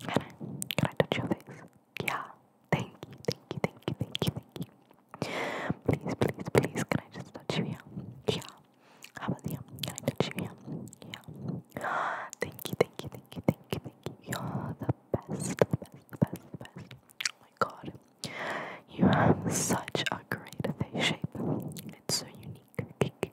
Can I, can I touch your face? Yeah. Thank you, thank you, thank you, thank you, thank you. Please, please, please, can I just touch you here? Yeah. How about here? Can I touch you here? Yeah. Thank you, thank you, thank you, thank you, thank you. You're the best, the best, the best, the best. Oh my god. You have such a great face shape. It's so unique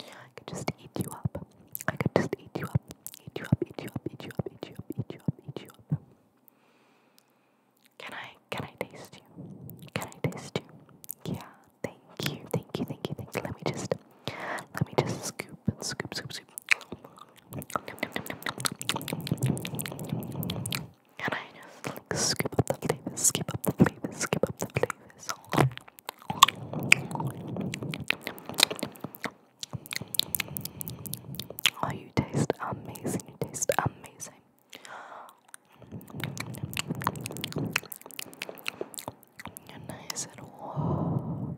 I could just eat you up. I could just eat you up. Eat you up, eat you up, eat you up, eat you up, eat you up, Can I can I taste you? Can I taste you? Yeah, thank you, thank you, thank you, thank you. Let me just let me just scoop and scoop scoop scoop. Can I just scoop up the flavors, scoop up the flavors, scoop up the flavors? Oh, you taste amazing. You taste amazing. You're nice and warm.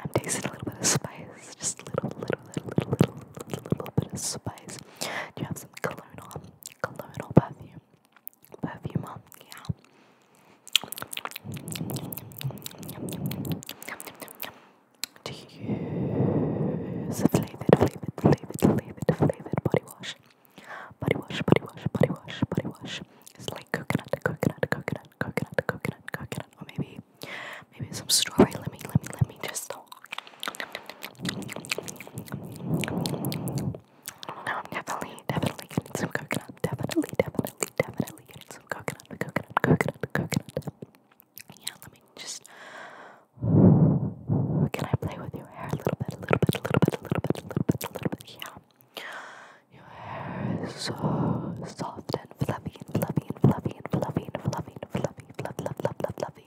I'm tasting a little bit of spice. Just a little, little, little, little, little, little, bit of spice. you have some cologne on? Cologne or perfume? perfume on. Yeah. Do you use a flavored, flavored, flavored, flavored, flavored body wash? Body wash, body wash, body wash, body wash. It's like coconut, coconut, coconut, coconut, coconut, coconut, or maybe, maybe some strawberry. Let me, let me, let me just. I don't know, I'm definitely, definitely getting some coconut. Definitely, definitely, definitely getting some coconut. Coconut, coconut, coconut. Yeah, let me just. Can I play with your hair a little bit? A little bit, a little bit, a little bit, a little bit, a little bit. Yeah. Your hair is so soft and fluffy and fluffy and fluffy and fluffy and fluffy and fluffy, fluffy, fluffy, fluffy, fluffy.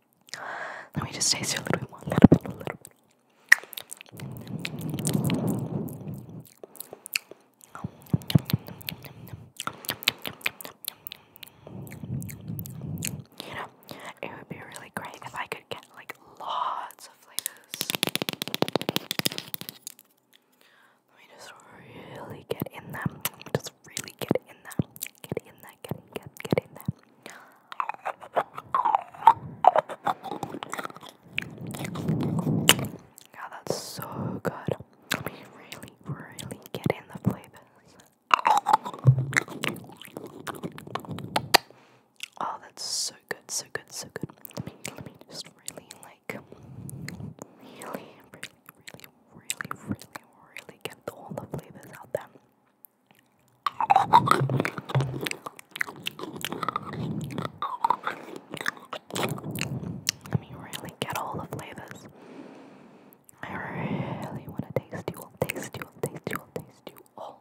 Let me just taste it a little bit more. A little bit, a little bit. You know, it would be really great if I could get like lots of flavors. Let me just really get in them really get in there, get in there, get in, get, get in there. God, that's so good. I mean, really, really get in the flavors. Oh, that's so good, so good, so good. Let me, let me just really like, really, really really, really, really, really get all the flavors out there. I mean, really get all the flavors. I really want to taste you taste you taste you taste you all.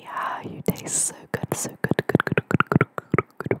Yeah, you taste so good, so good, good, good, good, good, good, good.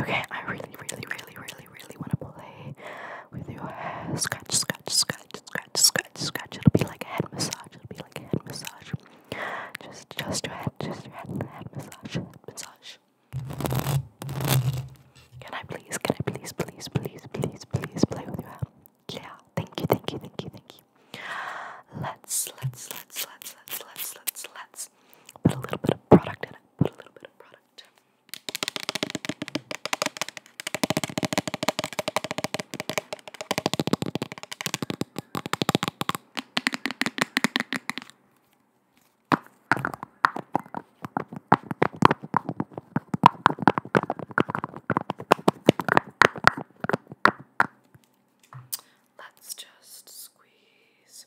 okay, I really, really, really, really, really want to play with your head. Scratch, scratch, scratch, scratch, scratch, scratch. It'll be like a head massage. It'll be like a head massage. Just, just your head, just your head, head massage, massage. Can I please, can I please, please, please, please, please play with your head. Yeah, thank you, thank you, thank you, thank you. Let's, let's, let's, let's, let's, let's, let's, let's put a little bit of product in it. Put a little bit of product. Let's just squeeze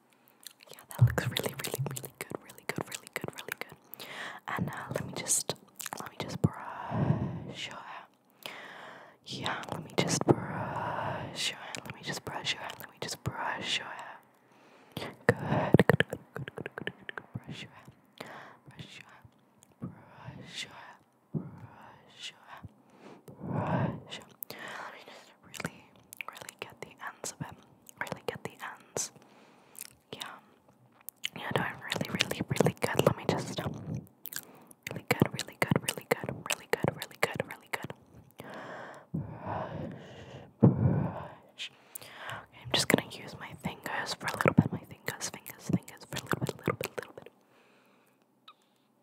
Yeah, that looks really, really, really good, really good, really good, really good. And uh, let me just, let me just brush your hair. Yeah, let me just brush your hair. Let me just brush your hair. Let me just brush your hair. Good, good, good, good, good, good, good, good. Brush your hair. Brush your hair. Brush your hair. Brush your hair. Brush your hair. Brush your hair. Let me just really, really get the ends of it. Really get the ends. Yeah. Yeah, no, I'm really, really, really good. Let me just um, really good, really good, really good, really good, really good, really good. Brush, brush. Okay, I'm just gonna use my fingers for a little bit. My fingers, fingers, fingers for a little bit, little bit, little bit.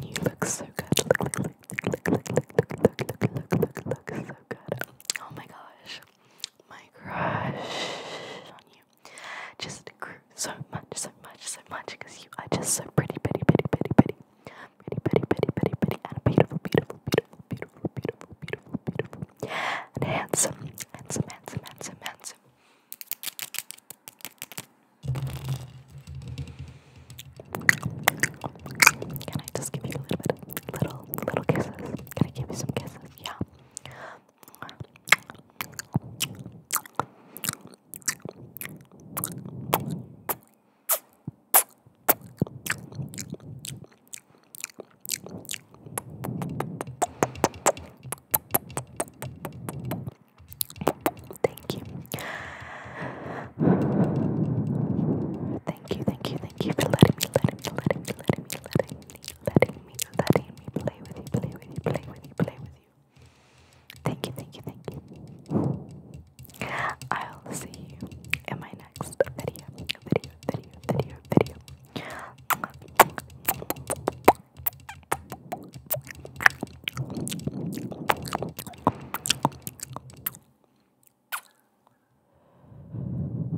You look so good. Look, look, look, look, look, look, look, look, look, look, look, look, so good. Oh my gosh. My crush on you just grew so much, so much, so much because you are just so pretty, pretty, pretty, pretty, pretty, pretty, pretty, pretty, pretty, pretty, and beautiful, beautiful, beautiful, beautiful, beautiful, beautiful, beautiful, and handsome, handsome, handsome, handsome, handsome. Can I just give you a little little, little kisses? Can I give you some kisses? Yeah. Thank you. Thank you, thank you, thank you for letting me, letting me, letting me, letting me, letting me, letting me, me, do that in me, play with you, play with you, play with you, play with you. Thank you, thank you, thank you. I'll see you in my next video, video, video, video,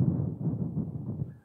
video.